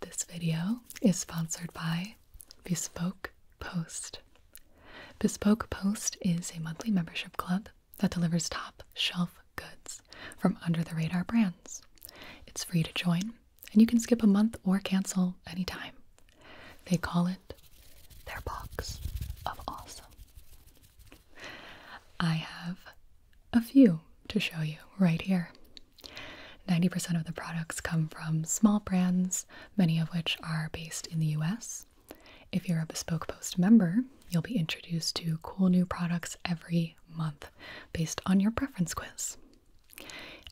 This video is sponsored by Bespoke Post. Bespoke Post is a monthly membership club that delivers top shelf goods from under the radar brands. It's free to join, and you can skip a month or cancel anytime. They call it their box of awesome. I have a few to show you right here. 90% of the products come from small brands, many of which are based in the US. If you're a Bespoke Post member, you'll be introduced to cool new products every month based on your preference quiz.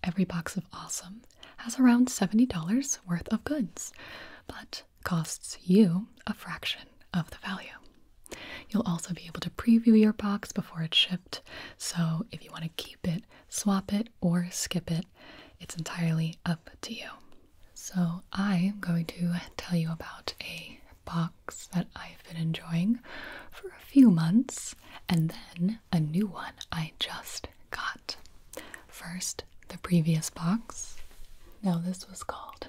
Every box of awesome has around $70 worth of goods, but costs you a fraction of the value. You'll also be able to preview your box before it's shipped so if you want to keep it, swap it, or skip it, it's entirely up to you. So I am going to tell you about a box that I've been enjoying for a few months and then a new one I just got. First, the previous box. Now, this was called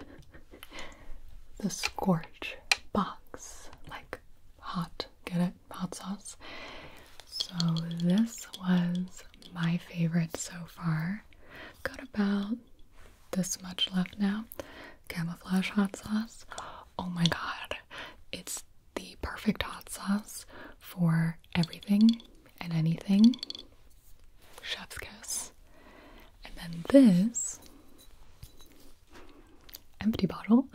the Scorch Box. Like hot, get it? hot sauce. So, this was my favorite so far. Got about this much left now. Camouflage hot sauce. Oh my god, it's the perfect hot sauce for everything and anything. Chef's kiss. And then this empty bottle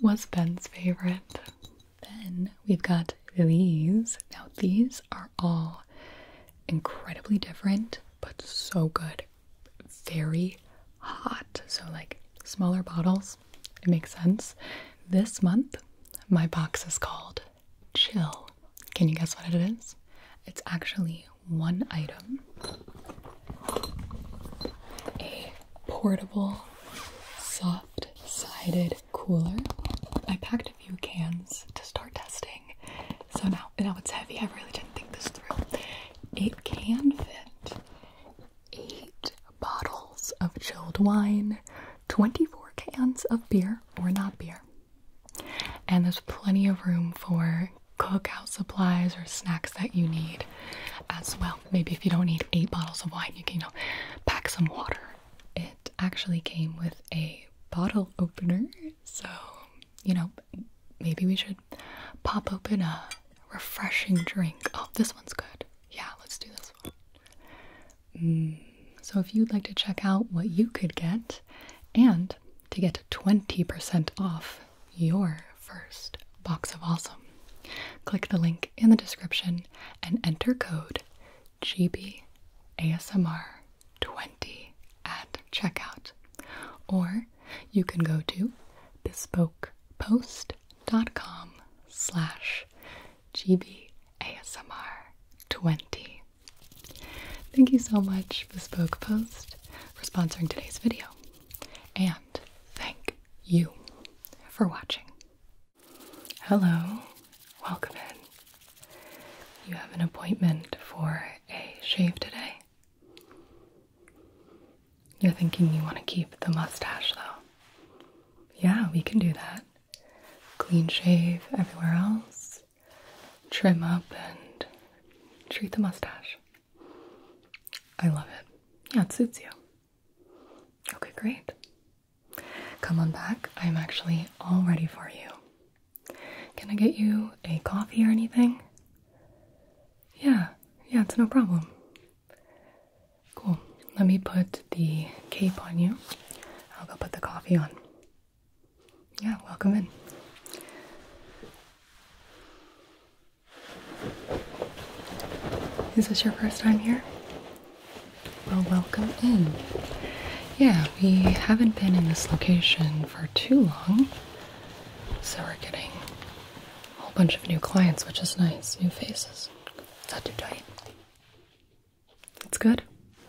was Ben's favorite. Then we've got these. Now, these are all incredibly different, but so good. Very hot. So, like smaller bottles, it makes sense. This month, my box is called Chill. Can you guess what it is? It's actually one item a portable, soft sided cooler. I packed a few cans to start testing. So now, now it's heavy. I really didn't think this through. It can fit eight bottles of chilled wine, 24 cans of beer or not beer, and there's plenty of room for cookout supplies or snacks that you need as well. Maybe if you don't need eight bottles of wine, you can you know, pack some water. It actually came with a bottle opener, so you know, maybe we should pop open a refreshing drink. Oh, this one's good. Yeah, let's do this one. Mm, so, if you'd like to check out what you could get and to get 20% off your first box of awesome. Click the link in the description and enter code GBASMR20 at checkout. Or you can go to bespokepost.com slash GBASMR20. Thank you so much, Bespoke Post, for sponsoring today's video. And thank you for watching. Hello, welcome in. You have an appointment for a shave today. You're thinking you want to keep the mustache though. Yeah, we can do that. Clean shave everywhere else, trim up, and treat the mustache. I love it. Yeah, it suits you. Okay, great. Come on back. I'm actually all ready for you. Can I get you a coffee or anything? Yeah, yeah, it's no problem. Cool. Let me put the cape on you. I'll go put the coffee on. Yeah, welcome in. Is this your first time here? Well, welcome in. Yeah, we haven't been in this location for too long, so we're getting a whole bunch of new clients, which is nice. New faces. It's not too tight. It's good?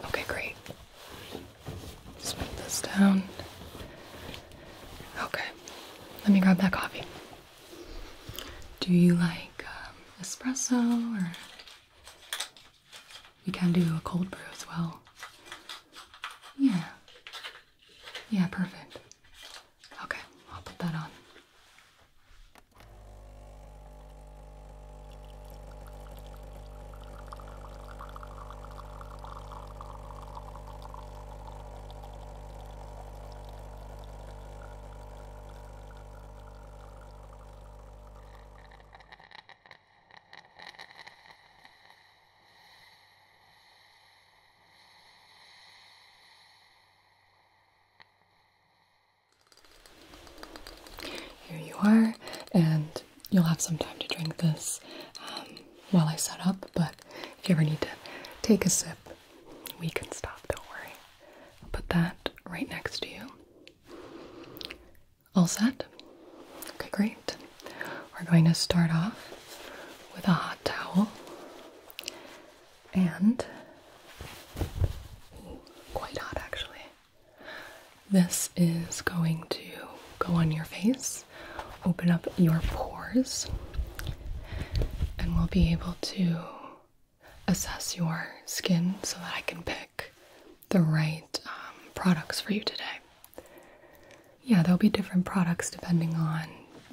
Okay, great. Just this down. Okay, let me grab that coffee. Do you like um, espresso or we can do a cold brew as well? Yeah. Yeah, perfect. Okay, I'll put that on. Here you are, and you'll have some time to drink this um, while I set up. But if you ever need to take a sip, we can stop, don't worry. I'll put that right next to you. All set? Okay, great. We're going to start off with a hot towel and quite hot actually. This is going to go on your face open up your pores and we'll be able to assess your skin so that I can pick the right um, products for you today. Yeah, there'll be different products depending on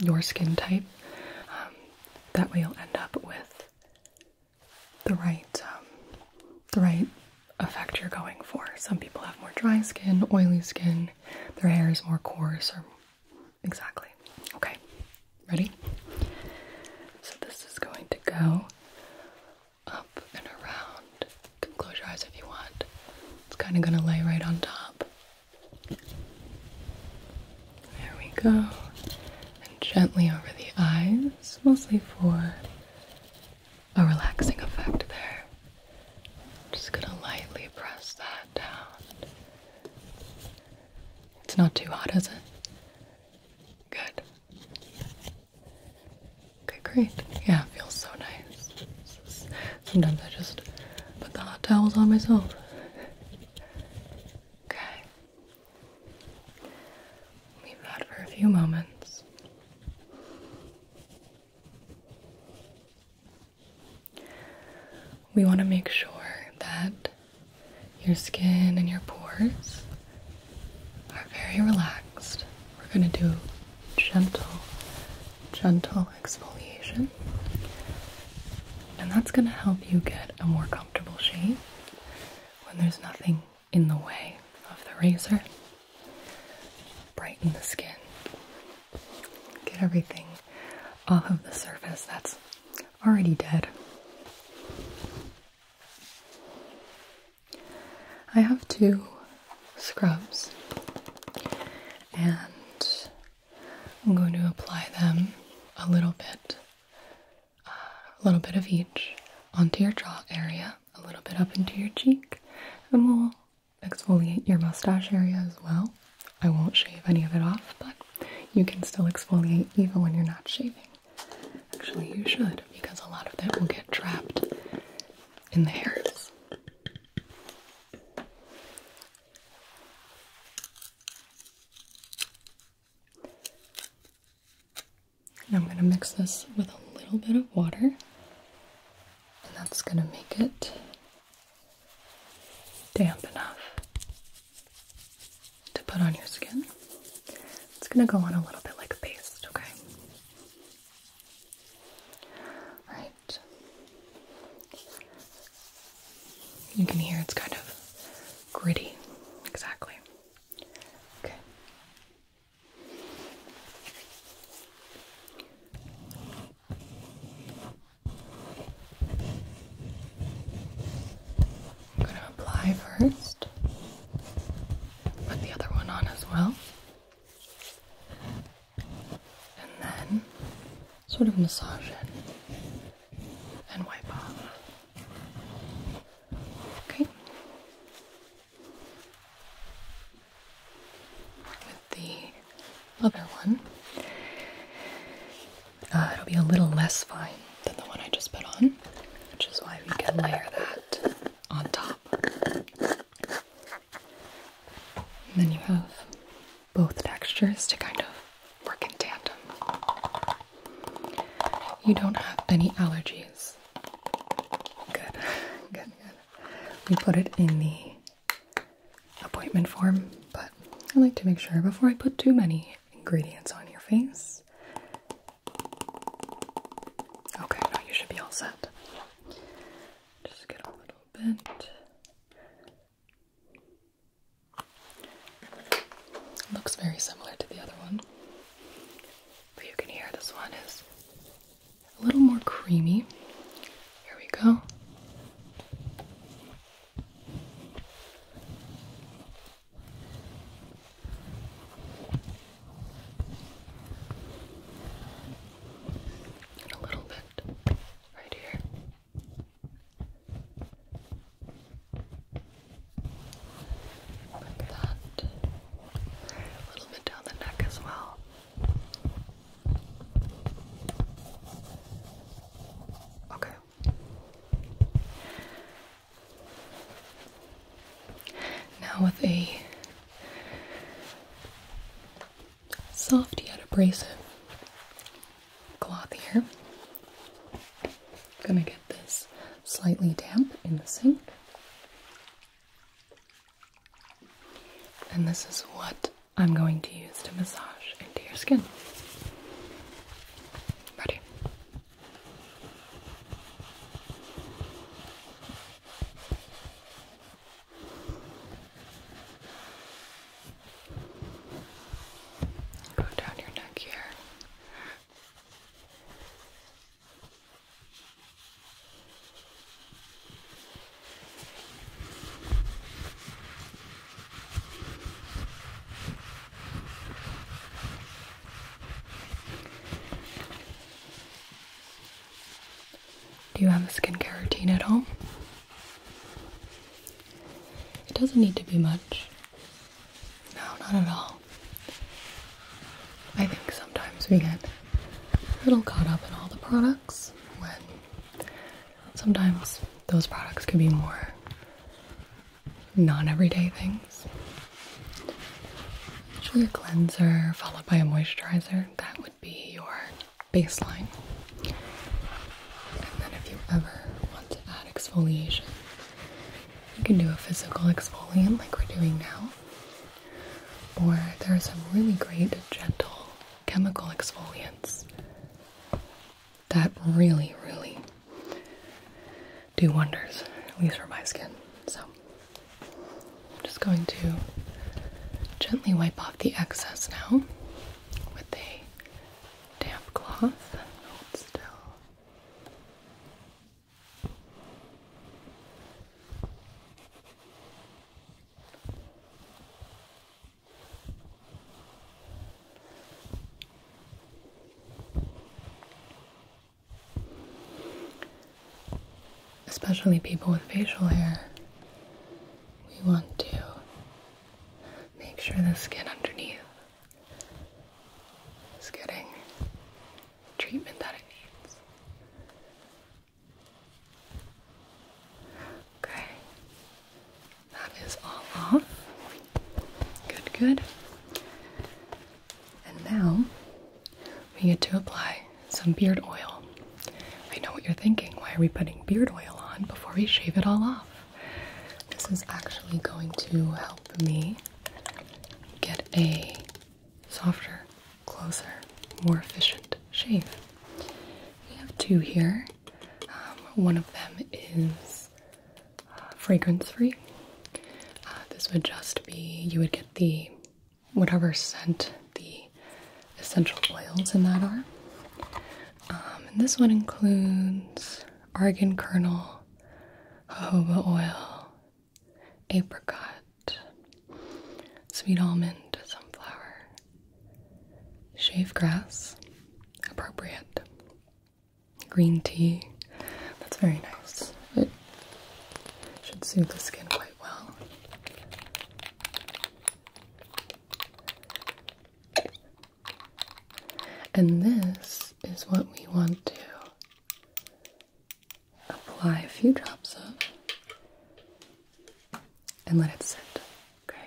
your skin type. Um, that we will end up with the right, um, the right effect you're going for. Some people have more dry skin, oily skin, their hair is more coarse or Exactly. Okay. Ready? So this is going to go up and around. close your eyes if you want. It's kind of going to lay right on top. There we go. And gently over the eyes, mostly for a relaxing effect there. just going to lightly press that down. It's not too hot, is it? Good. Okay, great. Yeah, it feels so nice. sometimes I just put the hot towels on myself. Okay. Leave that for a few moments. We want to make sure that your skin and your pores are very relaxed. We're going to do gentle, gentle exfoliation, and that's going to help you get a more comfortable shave when there's nothing in the way of the razor. Brighten the skin. Get everything off of the surface that's already dead. I have two scrubs and I'm going to apply them a little bit, a little bit of each onto your jaw area, a little bit up into your cheek, and we'll exfoliate your mustache area as well. I won't shave any of it off, but you can still exfoliate even when you're not shaving. Actually, you should because a lot of that will get trapped in the hairs. And I'm going to mix this with a little bit of water, and that's going to make it damp enough to put on your skin. It's going to go on a little bit like a paste, okay? Right. You can hear it's kind of gritty. Exactly. Okay. I'm going to apply first. Put the other one on as well. And then sort of massage it and wipe off. Okay the other one. Uh, it'll be a little less fine than the one I just put on, which is why we can layer that on top. then you have both textures to kind of work in tandem. You don't have any allergies. Good, good, good. We put it in the appointment form, but I like to make sure before I put too many ingredients on your face. Okay, now you should be all set. Just get a little bit. Looks very similar to the other one, but you can hear this one is a little more creamy. Here we go. And a little bit right here. Like that. A little bit down the neck as well. Okay. Now, with a soft yet abrasive cloth here, I'm gonna get this slightly damp in the sink. And this is what I'm going to use to massage into your skin. Ready? Go down your neck here. Do you have a skincare routine at home? It doesn't need to be much. No, not at all. I think sometimes we get a little caught up in all the products when sometimes those products can be more non everyday things. Usually a cleanser followed by a moisturizer, that would be your baseline. And then if you ever want to add exfoliation, you can do a physical exfoliant like we're doing now. Or there are some really great gentle chemical exfoliants that really, really do wonders, at least for my skin. So, I'm just going to gently wipe off the excess now with a damp cloth. Hold still. Especially people with facial hair, we want to make sure the skin underneath is getting treatment that it needs. Okay. That is all off. Good, good. And now we get to apply some beard oil. I know what you're thinking. Why are we putting beard oil on before we shave it all off? This is actually going to help me get a softer, closer, more efficient shave. We have two here. Um, one of them is uh, fragrance free. Uh, this would just be, you would get the whatever scent the essential oils in that are. Um, and this one includes argan kernel, jojoba oil, apricot, sweet almond, sunflower, Shave grass, appropriate. Green tea, that's very nice. It should soothe the skin quite well. And this is what we want to apply a few drops of and let it sit. Okay?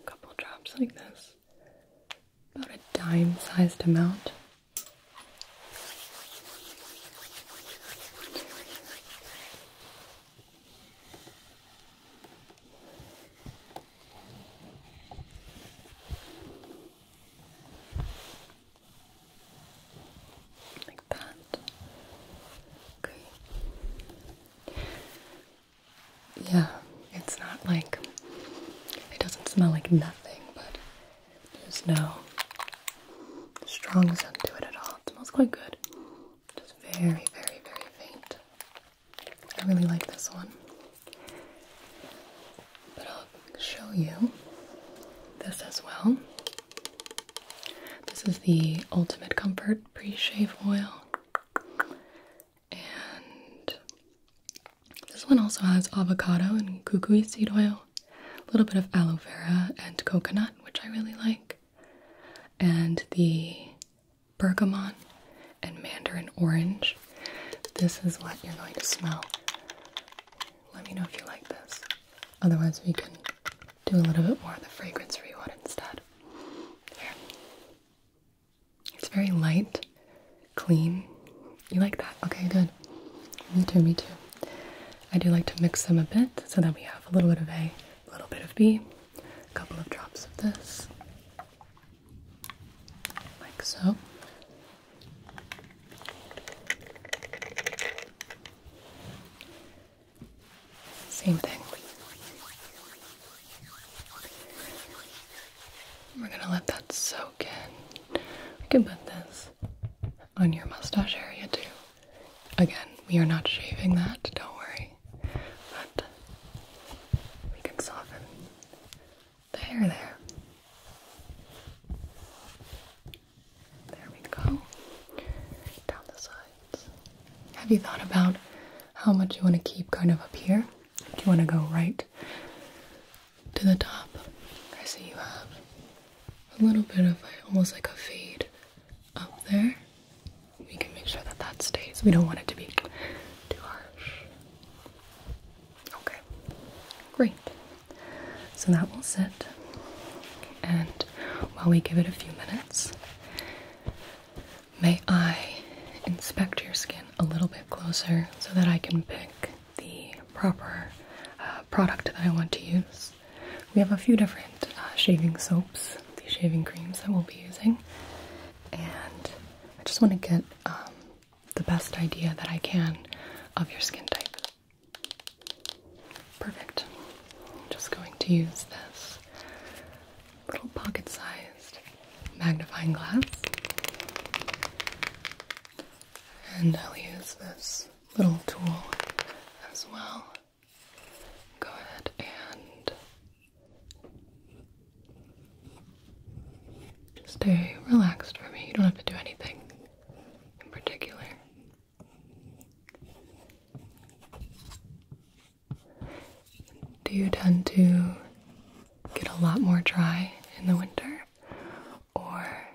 A couple drops like this about a dime sized amount. Like that. Okay yeah, it's not like it doesn't smell like nothing, but there's no strong scent to it at all. It smells quite good, just very, very, very faint. I really like this one, but I'll show you this as well. This is the Ultimate Comfort Pre Shave Oil. And this one also has avocado and kukui seed oil, a little bit of aloe vera and coconut, which I really like, and the bergamot and mandarin orange. This is what you're going to smell. Let me know if you like this. Otherwise, we can do a little bit more of the fragrance for you instead. Here. It's very light, clean. You like that? Okay, good. Me too, me too. I do like to mix them a bit so that we have a little bit of A, a little bit of B, a couple of drops of this, like so. Same thing. We're gonna let that soak in. We can put this on your mustache area too. Again, we are not shaving that, don't worry. But we can soften the hair there. There we go. Down the sides. Have you thought about how much you want to keep kind of up here? Do you want to go right to the top? I see you have a little bit of almost like a fade up there. We can make sure that that stays. We don't want it to be too harsh. Okay, great. So that will sit. And while we give it a few minutes, May I inspect your skin a little bit closer so that I can pick the proper uh, product that I want to use? We have a few different uh, shaving soaps, the shaving creams that we'll be using, and I just want to get um, the best idea that I can of your skin type. Perfect. I'm just going to use this little pocket sized magnifying glass. And I'll use this little tool as well. Go ahead and stay relaxed for me. You don't have to do anything in particular. Do you tend to get a lot more dry in the winter? Or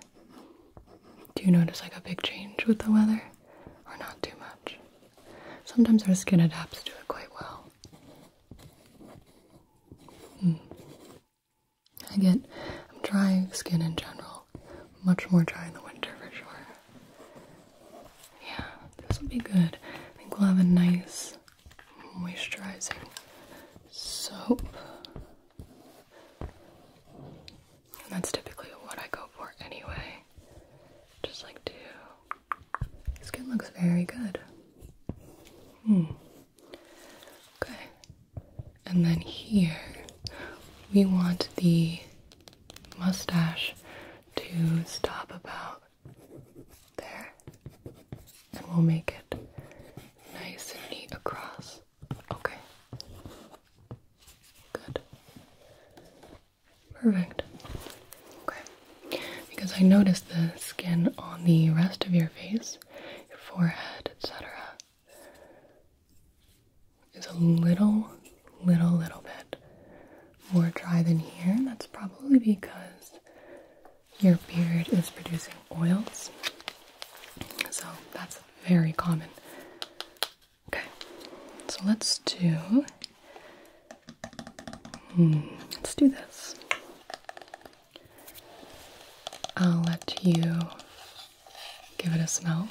do you notice like a big change with the weather? Or not too much? Sometimes our skin adapts to it quite well. Hmm. I get I'm dry skin in general, much more dry in the winter for sure. Yeah, this will be good. I think we'll have a nice moisturizing soap. And that's typically what I go for anyway. Just like to. Skin looks very good. Hmm. Okay. And then here, we want the mustache to stop about there. And we'll make it nice and neat across. Okay. Good. Perfect. Okay. Because I noticed the skin on the rest of your face, your forehead, etc., is a little, little, little bit more dry than here. That's probably because your beard is producing oils. So that's very common. Okay, so let's do. Hmm, let's do this. I'll let you give it a smell.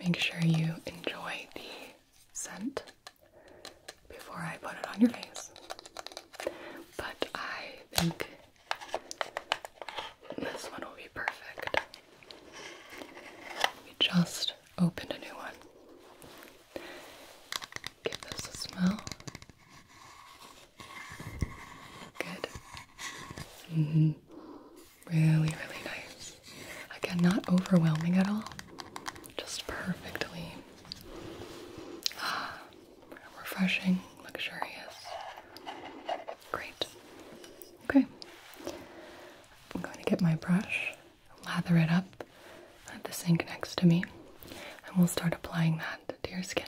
Make sure you enjoy the scent before I put it on your face. But I think this one will be perfect. We just opened a new one. Give this a smell. Good. Mm-hmm. Really, really nice. Again, not overwhelming at all. Just perfectly Ah, refreshing, luxurious. Great. Okay. I'm going to get my brush, lather it up at the sink next to me, and we'll start applying that to your skin.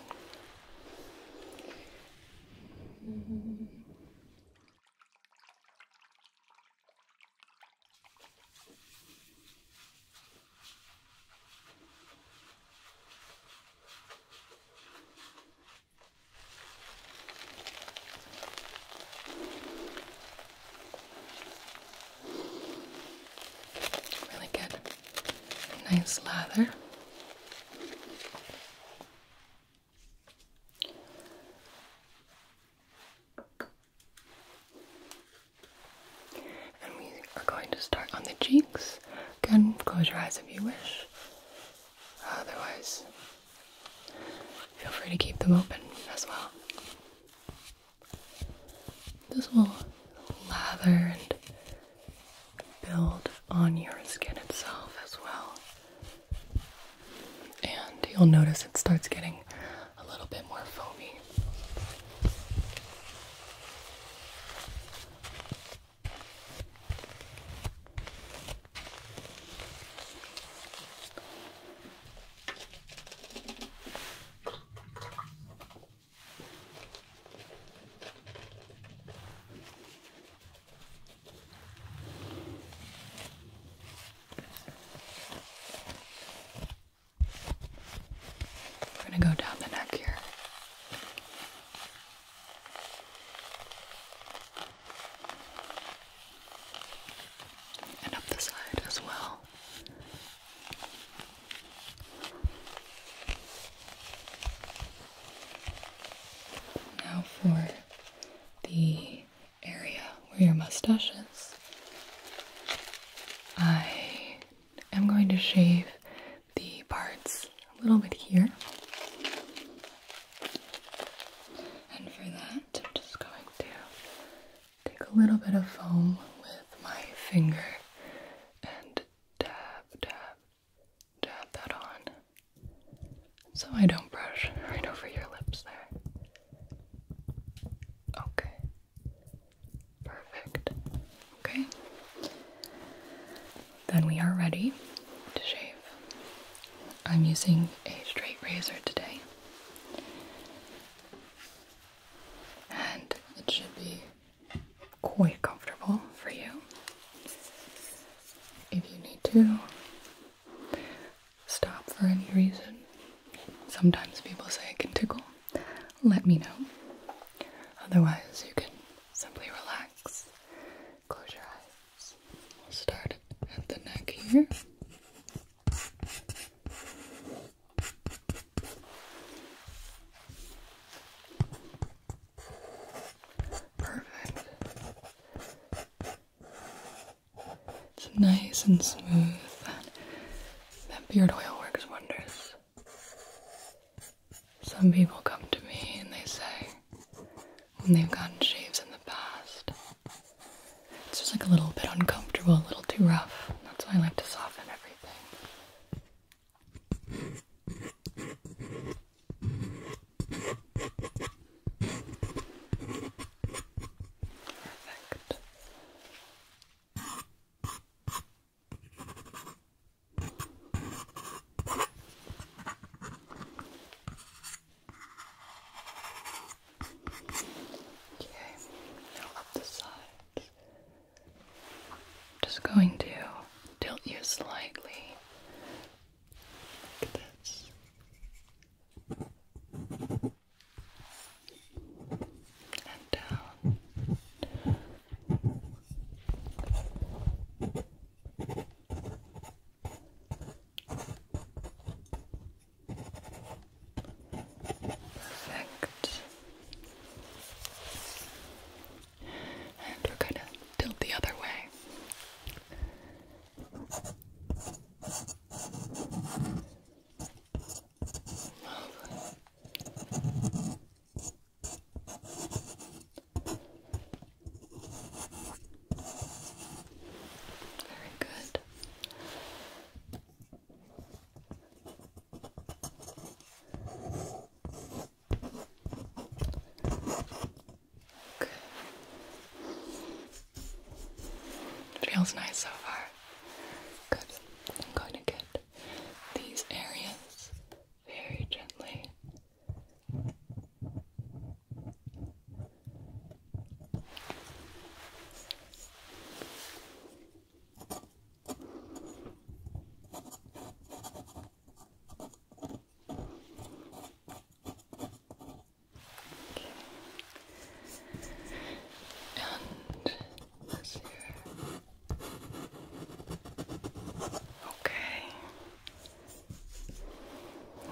Really good. Nice lather. And we are going to start on the cheeks. Again, close your eyes if you wish. Otherwise, feel free to keep them open as well. This will lather and build on your skin itself as well. And you'll notice it starts getting a little bit more foamy. We're going to go down the neck here. And up the side as well. Now for the area where your mustache is. I I'm going to shave the parts a little bit here. And for that, I'm just going to take a little bit of foam with my finger and dab, dab, dab that on so I don't brush right over your lips there. Okay. Perfect. Okay. Then we are ready to shave. I'm using a straight razor today. And it should be quite comfortable for you. If you need to stop for any reason, sometimes people say it can tickle let me know. Otherwise, you can simply relax, close your eyes. We'll start at the neck here. Perfect. It's nice and smooth that beard oil works wonders. Some people come to me and they say, when they've gotten shaves in the past, it's just like a little bit uncomfortable, a little too rough. That's why I like to soften everything. Perfect. Okay, now up the sides. Just going to tilt you slightly like this and Perfect. And we're going to tilt the other way. Very good. Okay. Feels nice so far. Good. going to get these areas very gently let Okay.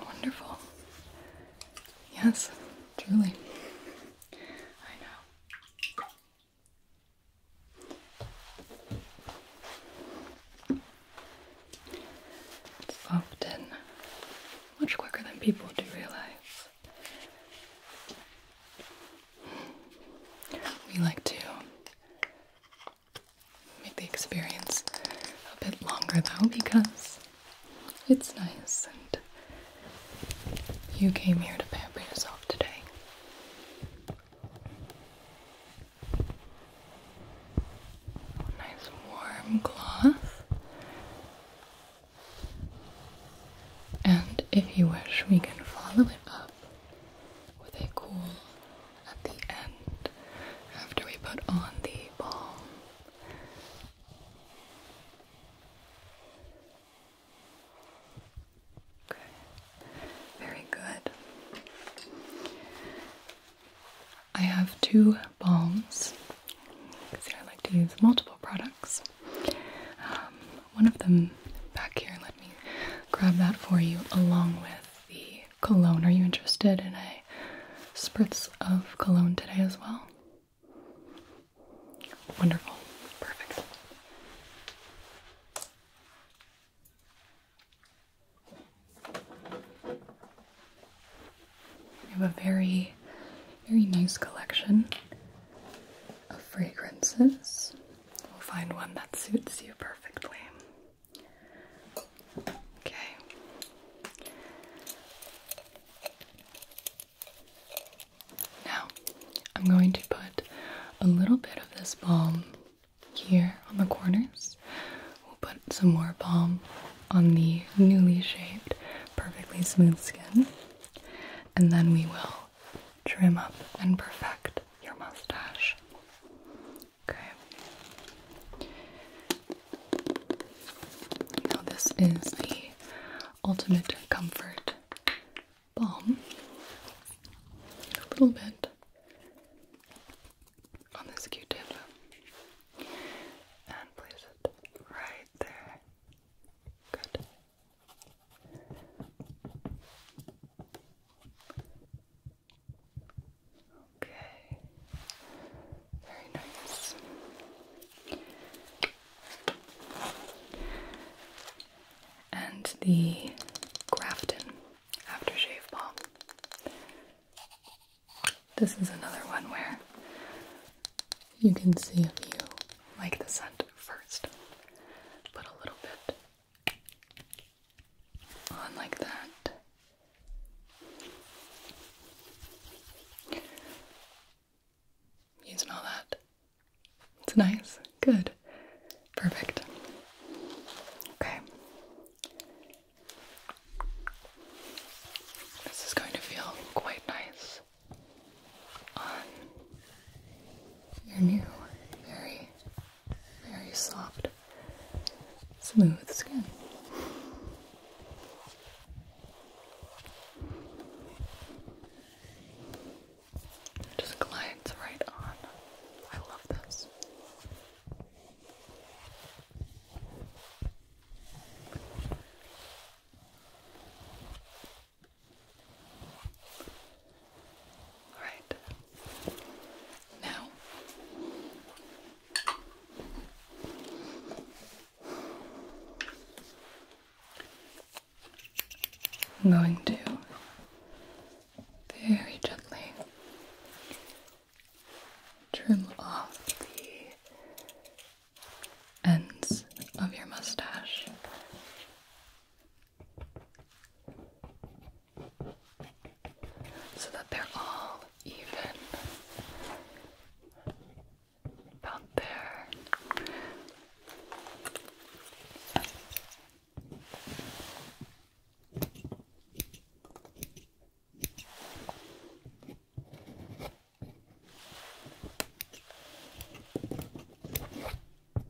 Wonderful. Yes, truly. I know. It's often much quicker than people do realize. We like to make the experience a bit longer though because it's nice and you came here to pamper yourself today. Nice warm cloth. And if you wish, we can follow it up with a cool at the end after we put on the balm. Okay, very good. I have two balms because I like to use multiple products. Um, one of them back here, let me grab that for you along with the cologne. Are you interested in a spritz of cologne today as well? Wonderful. Perfect. We have a very, very nice collection of fragrances. We'll find one that suits you perfectly. Okay. Now, I'm going to put a little bit of this balm here on the corners. We'll put some more balm on the newly shaped, perfectly smooth skin, and then we will trim up and perfect your mustache. Okay. Now, this is the Ultimate Comfort Balm. A little bit on this q tip and place it right there. Good. Okay, very nice. And the Grafton shave balm. This is another one where you can see if you like the scent first. Put a little bit on like that. You smell that? It's nice. Good. Perfect. Okay. This is going to feel quite nice on your new, very, very soft, smooth skin. It just glides right on. I love this. All right. Now, I'm going to very gently trim off the ends of your mustache so that they're all even about there. Perfect.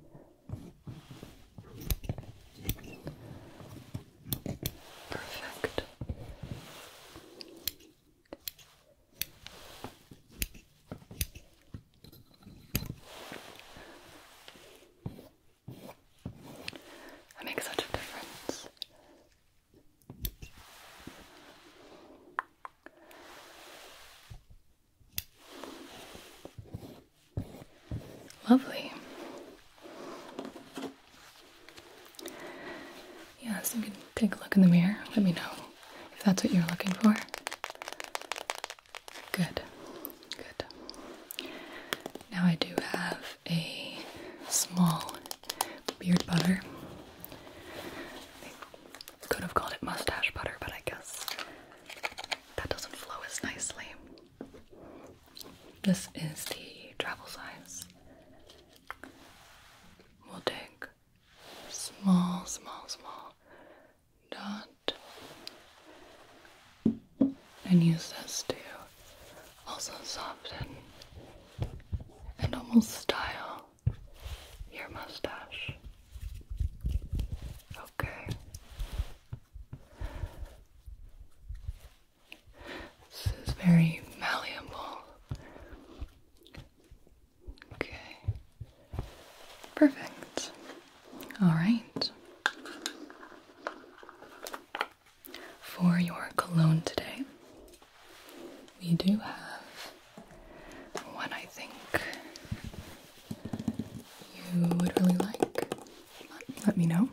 That makes such a difference. Lovely. Yes, you can take a look in the mirror. Let me know if that's what you're looking for. Good. Good. Now I do have a small beard butter. Could have called it mustache butter, but I guess that doesn't flow as nicely. This is the travel size. We'll take small, small, small dot and use this to also soften and almost style your mustache. Okay. This is very malleable. Okay. Perfect. All right. For your cologne today, we do have one I think you would really like, let me know.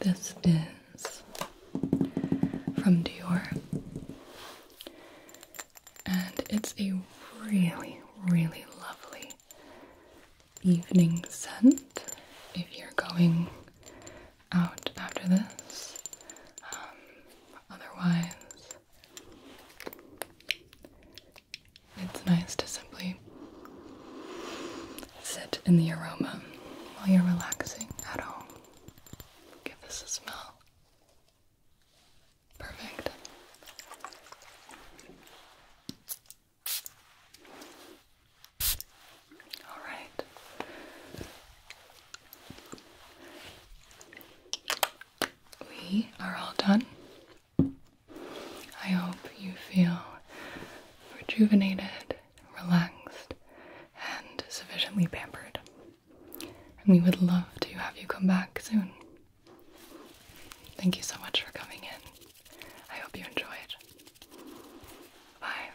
This is from Dior and it's a really, really lovely evening scent if you're going out after this. Um, otherwise, it's nice to simply sit in the aroma while you're relaxing at home. Give this a smell. Perfect. All right. We are all done. I hope you feel rejuvenated, relaxed, and sufficiently pampered and we would love to have you come back soon. Thank you so much for coming in. I hope you enjoyed. Bye.